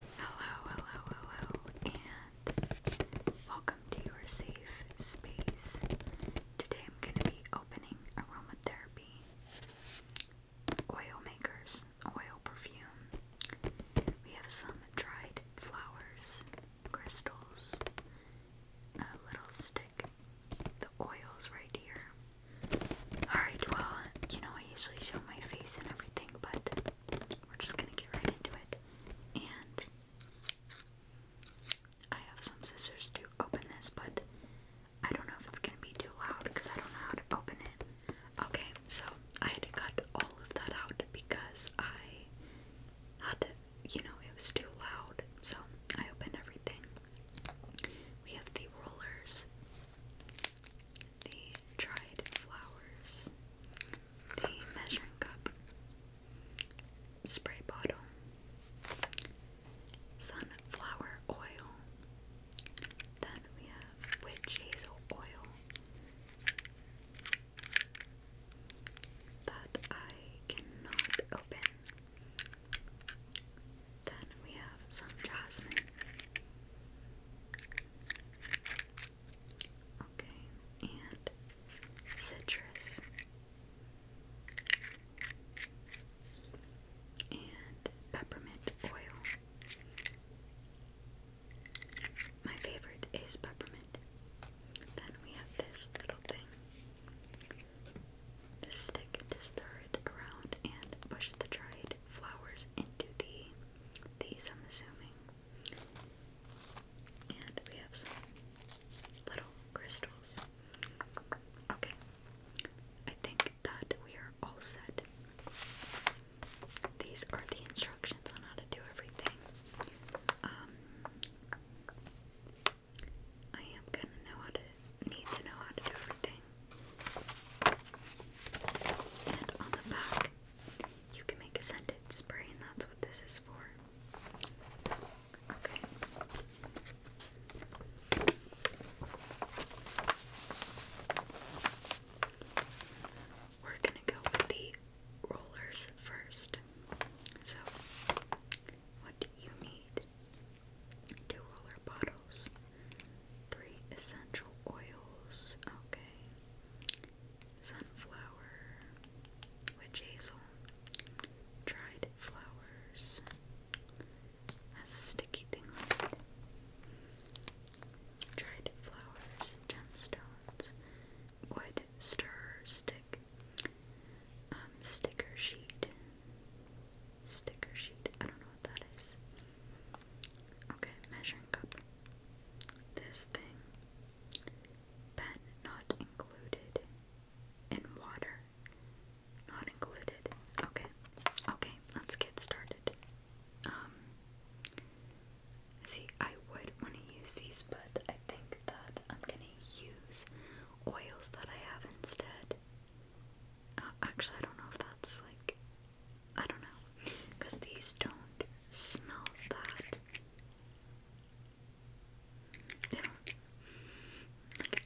Hello, hello, hello, and welcome to your safe space. Today I'm going to be opening aromatherapy oil makers, oil perfume. We have some dried flowers, crystals, a little stick, the oils right here. Alright, well, you know, I usually show my face and everything, but we're just gonna get right into it. And I have some scissors to open this, but I don't know if it's gonna be too loud because I don't know how to open it. Okay, so I had to cut all of that out because I had to, you know, it was too loud. So I opened everything. We have the rollers the dried flowers, the measuring cup, spray bottle, sunflower oil, then we have witch hazel oil that I cannot open. Then we have some jasmine. Okay, and citrus. And peppermint oil. My favorite is peppermint. Then we have this little thing. This stick to stir it around and push the dried flowers into the these, I'm assuming. And we have some little crystals. Okay. I think that we are all set. These are the instructions on how to do everything. Um, I am gonna know how to need to know how to do everything. And on the back, you can make a scented spray, and that's what this is for. Okay. We're gonna go with the rollers first. So, what do you need? Two roller bottles, three essential oils. Okay sunflower, witch hazel, dried flowers, has a sticky thing on it. Dried flowers, gemstones, wood stir stick, um, sticker sheet, sticker sheet. I don't know what that is. Okay, measuring cup. This thing. Pen not included. In water. Not included. Okay. Okay, let's get started. Um see I would want to use these, but I think that I'm gonna use oils that I have instead. Uh, actually I don't know if that's like I don't know, because these don't smell that. They don't.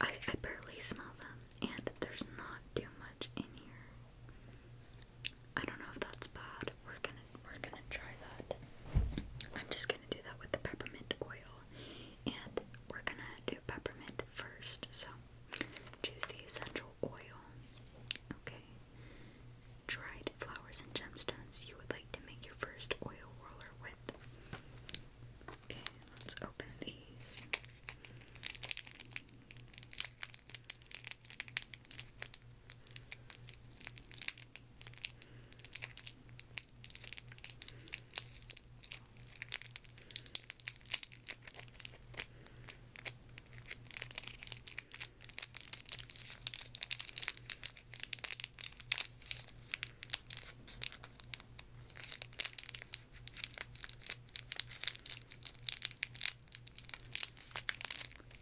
I, I barely smell them, and there's not too much in here. I don't know if that's bad. We're gonna we're gonna try that. I'm just gonna do that with the peppermint oil, and we're gonna do peppermint first. So choose the essential oil. Okay. Dried flowers and gemstones you would like to make your first oil roller with. Okay, let's open these.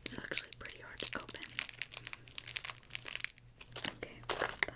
It's actually pretty hard to open. Okay, we've got that.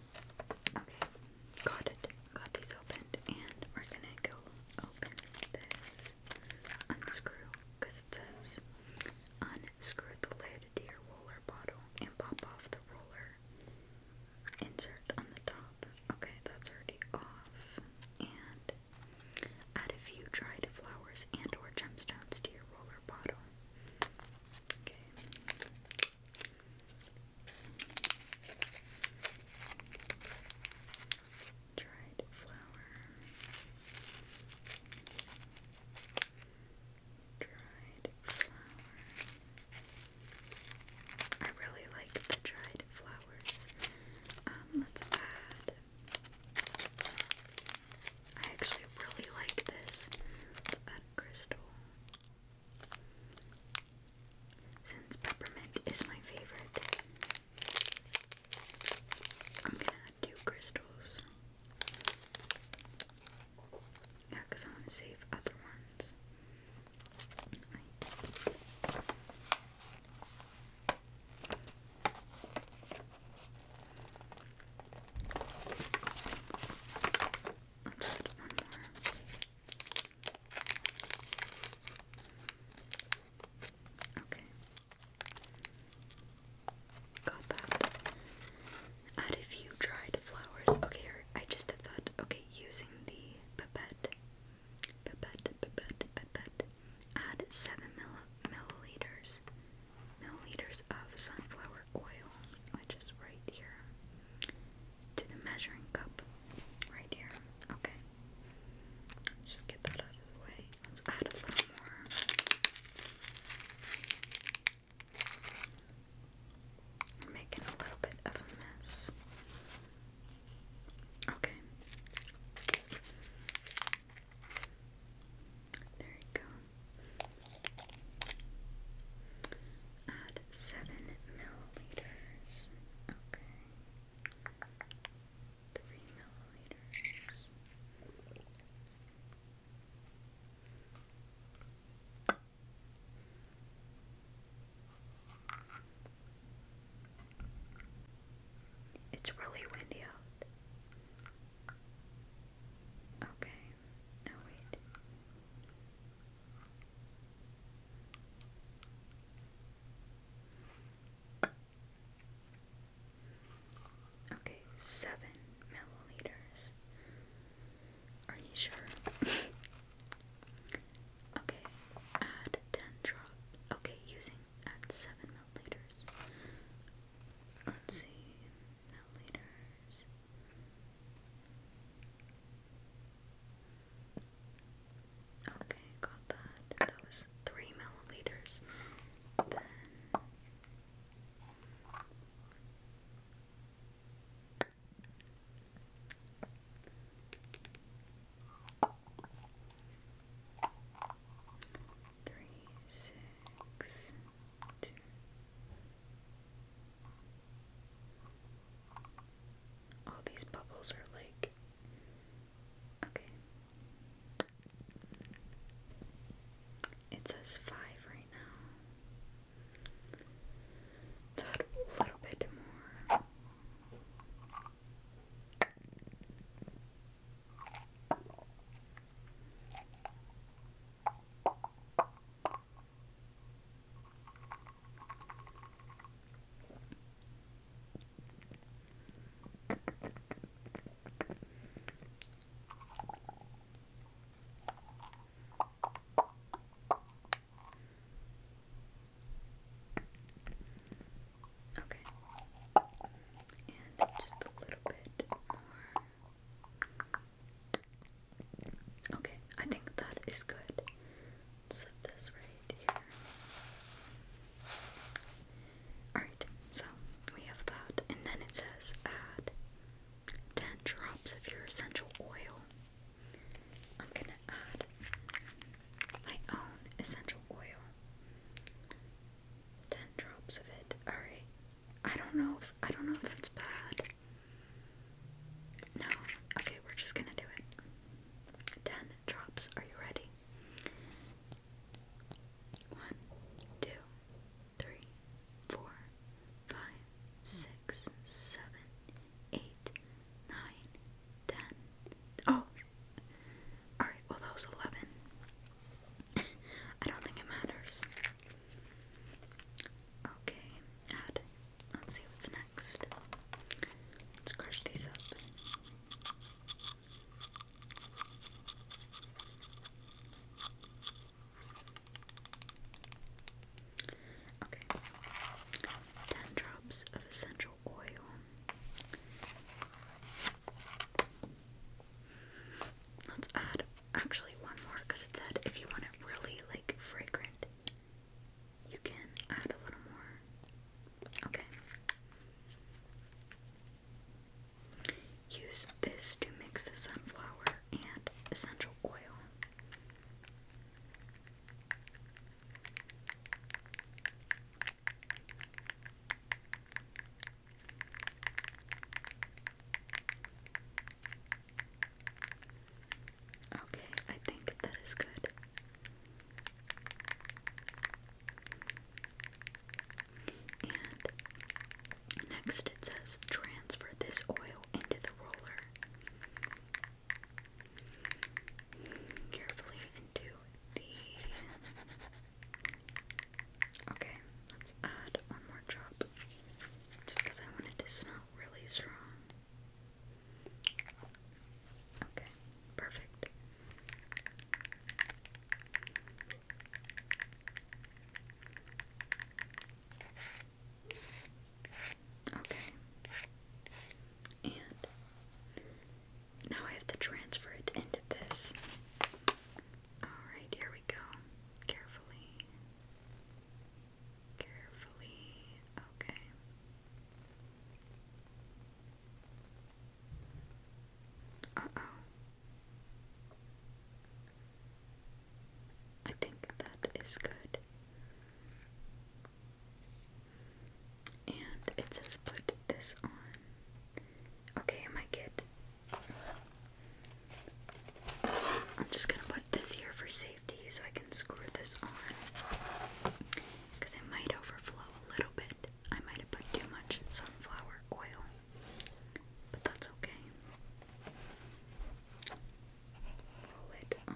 Okay, got it. Got these opened, and we're gonna go open this unscrew because it says unscrew the lid to your roller bottle and pop off the roller insert on the top. Okay, that's already off. And add a few dried flowers and/or gemstones to your roller bottle. Okay, Dried flour, dried flour. I really like the dried flowers. Um, let's add. I actually really like this. Let's add crystal. Since peppermint is my favorite, I'm gonna add crystals. Yeah, because I want to save other ones. Let's add one more. Okay. Got that. Add a few dried flowers. Okay, I just did that. Okay, using the pipette. Pipette, pipette, pipette. Add 7 mil milliliters milliliters of sunflower oil just right here, to the measuring cup, right here. Okay, just get that out of the way. Let's add a little more. We're making a little bit of a mess. Okay. There you go. Add seven milliliters. Okay. Three milliliters. It's really windy out. Okay. Oh wait. Okay, seven milliliters. Are you sure? okay, add ten drop. Okay, using add seven milliliters. Let's see milliliters. Okay, got that. That was three milliliters. three, six, all these bubbles are like okay. It says five right now. a little bit more. Okay. And just a little bit more. Okay, I think that is good. let this right here. Alright, so we have that, and then it says add 10 drops of your essential oil. I'm gonna add my own essential oil. 10 drops of it. Alright. I don't know I don't know if it's bad. No. Okay, we're just gonna do it. Ten drops. Are you ready? One, two, three, four, five, six, seven, eight, nine, ten. Oh! Alright, well, that was eleven. I don't think it matters. Okay, add. Let's see what's next. Let's crush these up. Okay. Ten drops of essential oil. Let's add actually one more because it said if you want it really like fragrant, you can add a little more. Okay. Use this to mix the sunflower and essential oil. Okay, I think that is good. And next it says transfer this oil into the roller carefully into the Okay, let's add one more drop just because I wanted to smell really strong. Okay, perfect. Okay. And now I have to transfer it into this. Alright, here we go. Carefully. Carefully, okay. Uh oh. I think that is good. And it says put this on. Okay, I might I'm just gonna put this here for safety so I can screw this on because it might overflow a little bit. I might have put too much sunflower oil, but that's okay. Roll it on.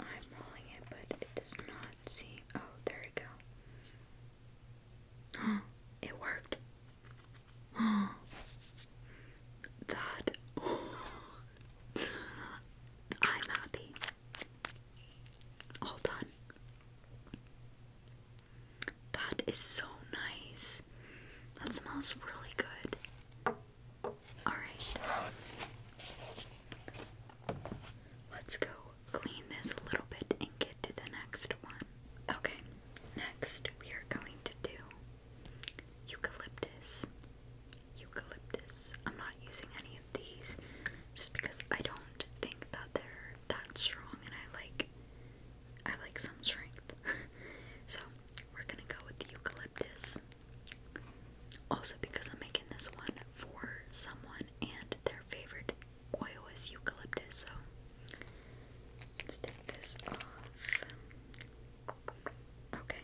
I'm rolling it, but it does not seem. Oh, there we go. Huh, it worked. Huh. That. I'm happy. All done. That is so nice. That smells really good. Alright. Let's go clean this a little bit and get to the next one. Okay, next we are going to do eucalyptus. Eucalyptus. I'm not using any of these just because I don't think that they're that strong and I like I like some strength. so we're gonna go with the eucalyptus. Also because I'm making this one for someone and their favorite oil is eucalyptus. So let's take this off. Okay.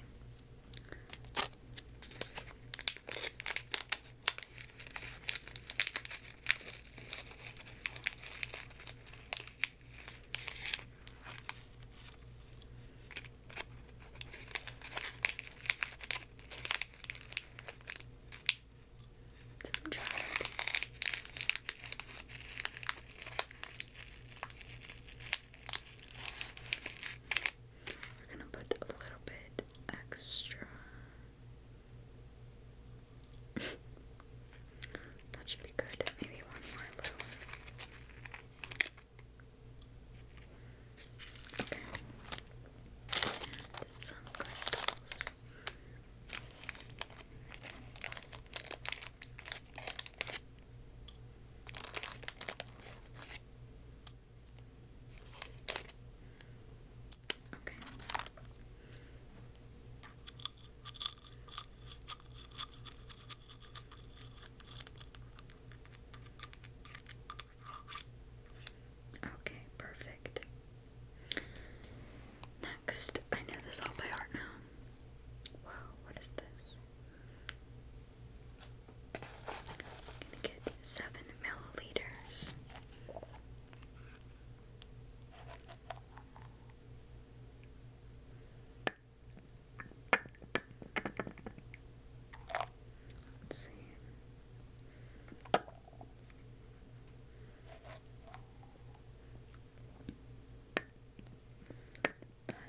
Some jars. We're gonna put a little bit extra. that should be good. Maybe one more little. Okay. And some crystals. Okay. Okay, perfect. Next, I know this all by heart now. Wow, what is this? I'm gonna get seven milliliters. Let's see.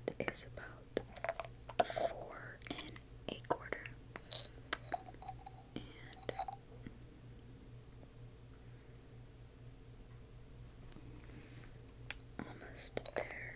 That is about four and a quarter. And almost there.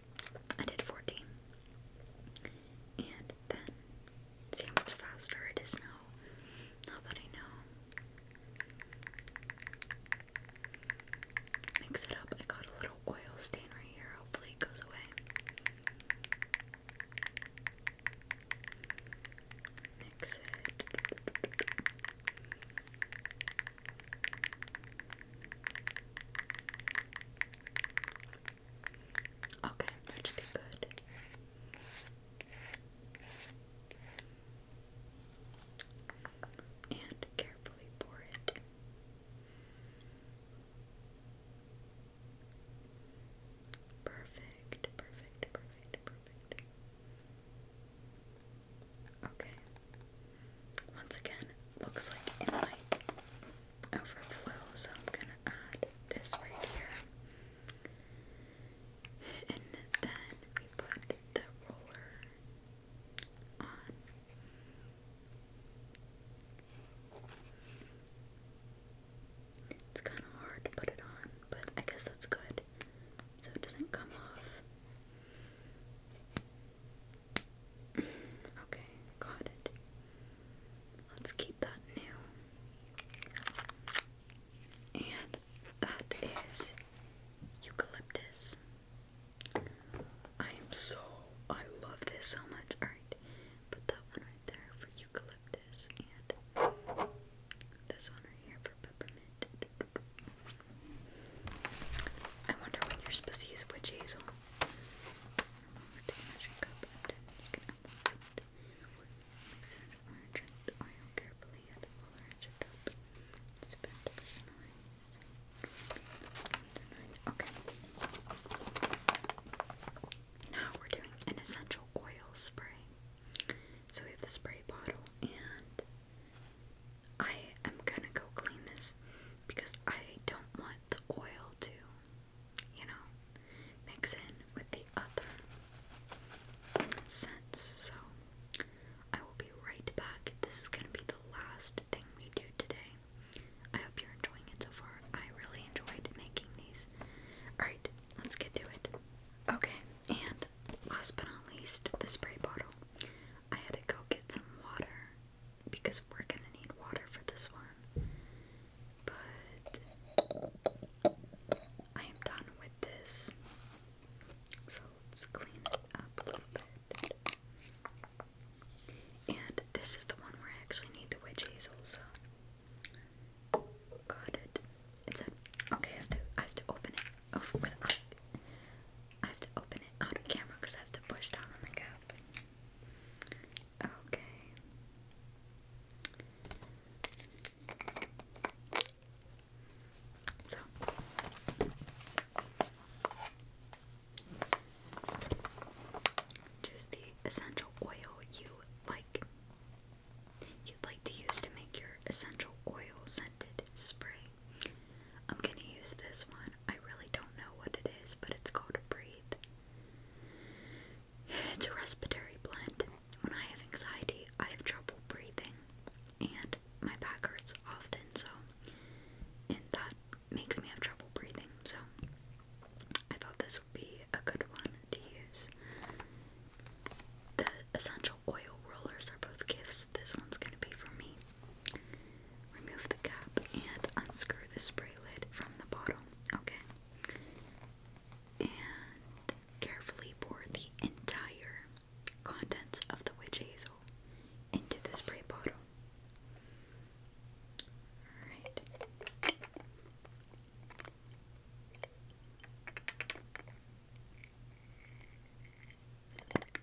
I did 14. And then, see how much faster it is now, now that I know. Mix it up. I got a little oil stain right here. Hopefully it goes away. Mix it. Okay, that should be good. And carefully pour it. Perfect, perfect, perfect, perfect. Okay. Once again, looks like it might overflow, so I'm gonna add this right here. And then we put the roller on. It's kind of hard to put it on, but I guess that's good. So it doesn't come off. Okay, got it. Let's keep that new. And that is eucalyptus. I am so I love this so much. Alright, put that one right there for eucalyptus and this one right here for peppermint. I wonder when you're supposed to use witch hazel. Now we're doing an essential oil spray. So we have the spray bottle, and I am gonna go clean this because I don't want the oil to, you know, mix in with the other scents. So I will be right back. This is going to be the last thing we do today. I hope you're enjoying it so far. I really enjoyed making these. Alright, let's get to it. Okay, and last but not least, the spray bottle. I had to go get some water because we're gonna need water for this one. But I am done with this. So let's clean up a little bit. And this is the one where I actually need the witch hazel, so got it. It's okay, I have to I have to open it. Oh, I have to open it out camera because I have to push down on the cap. Okay. So choose the essential oil you like you'd like to use to make your essential oil scented spray. I'm gonna use this one. I really don't know what it is, but it's called a Breathe. It's a respiratory blend. When I have anxiety, I have trouble breathing, and my back hurts often, so, and that makes me have trouble breathing, so I thought this would be a good one to use. The essential oil rollers are both gifts. This one's gonna be for me. Remove the cap and unscrew the spray lid from the bottle. Okay. And carefully pour the entire contents of the witch hazel into the spray bottle. Alright.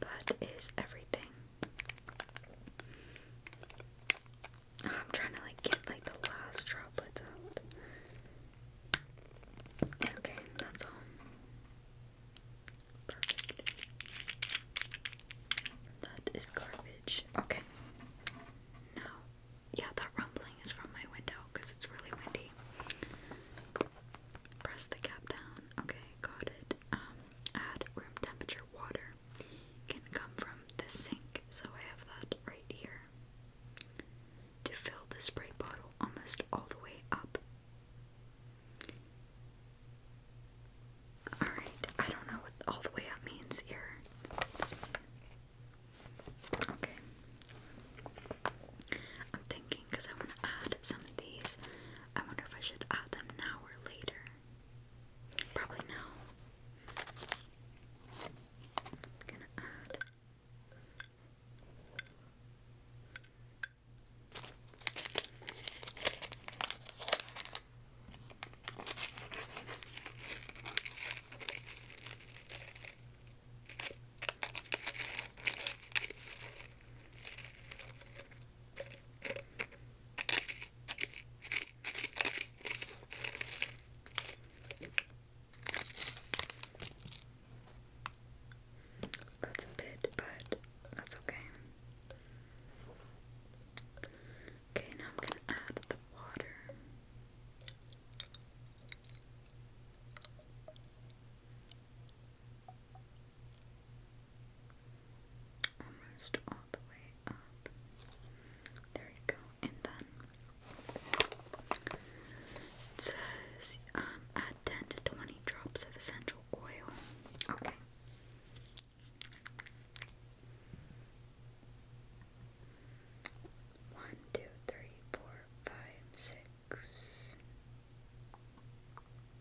That is everything. I'm trying to like get like the last droplets out. Okay, that's all. Perfect. That is garbage. Okay. No. Yeah, that rumbling is from my window because it's really windy. Press the cap down. Okay, got it. Um at room temperature water can come from the sink, so I have that right here. To fill the spray bottle almost all the way up. Alright, I don't know what all the way up means here. Okay. I'm thinking because I want to add some of these I wonder if I should add them now or later. Probably now. That's a bit, but that's okay. Okay, now I'm going to add the water almost all the way up. There you go. And then it says um, add 10 to 20 drops of essential oil. Okay. One, two, three, four, five, six,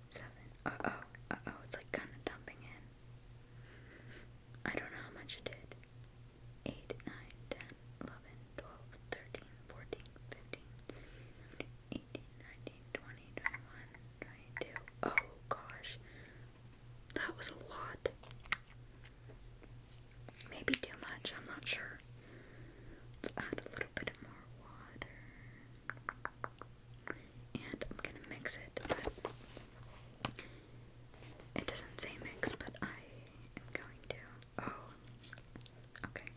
Seven. Uh oh. Uh oh. It's like kind of dumping in. I don't know how much it did. 8, 9, 10, 11, 12, 13, 14, 15, 18, 19, 20, 21, 22. Oh gosh. That was a lot. Maybe too much, I'm not sure. Let's add a little bit more water and I'm gonna mix it, but it doesn't say mix, but I am going to. Oh, okay. Okay,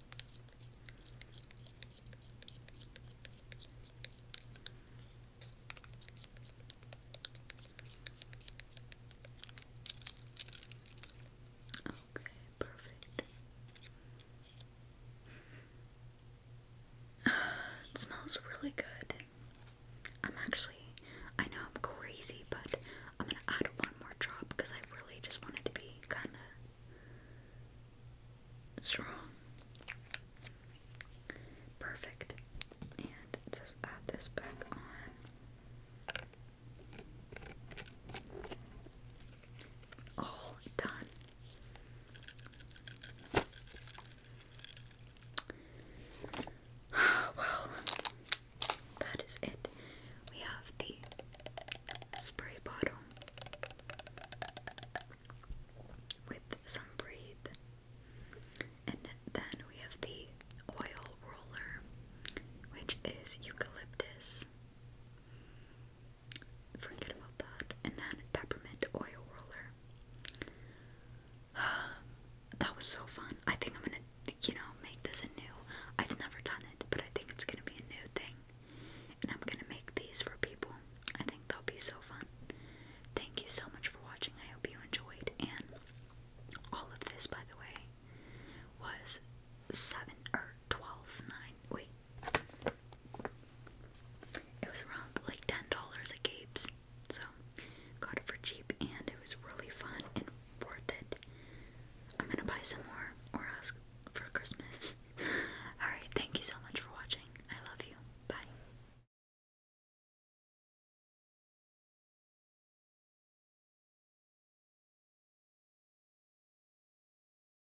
perfect it smells really good. I'm actually, I know I'm crazy, but I'm gonna add one more drop because I really just wanted to be kind of strong. Perfect. And just add this back on all done. Well, that is it. We have the spray bottle with some breathe, and then we have the oil roller, which is eucalyptus forget about that. And then peppermint oil roller. that was so fun. I think I'm gonna, you know, make this a new. I've never done it, but I think it's gonna be a new thing. And I'm gonna make these for people. I think they will be so fun. Thank you so much for watching. I hope you enjoyed. And all of this, by the way, was seven or twelve nine. Wait. It was around like ten dollars at Gabe's, so got it for cheap, and it was really fun and worth it. I'm gonna buy some more or ask for Christmas. All right, thank you so much for watching. I love you. Bye.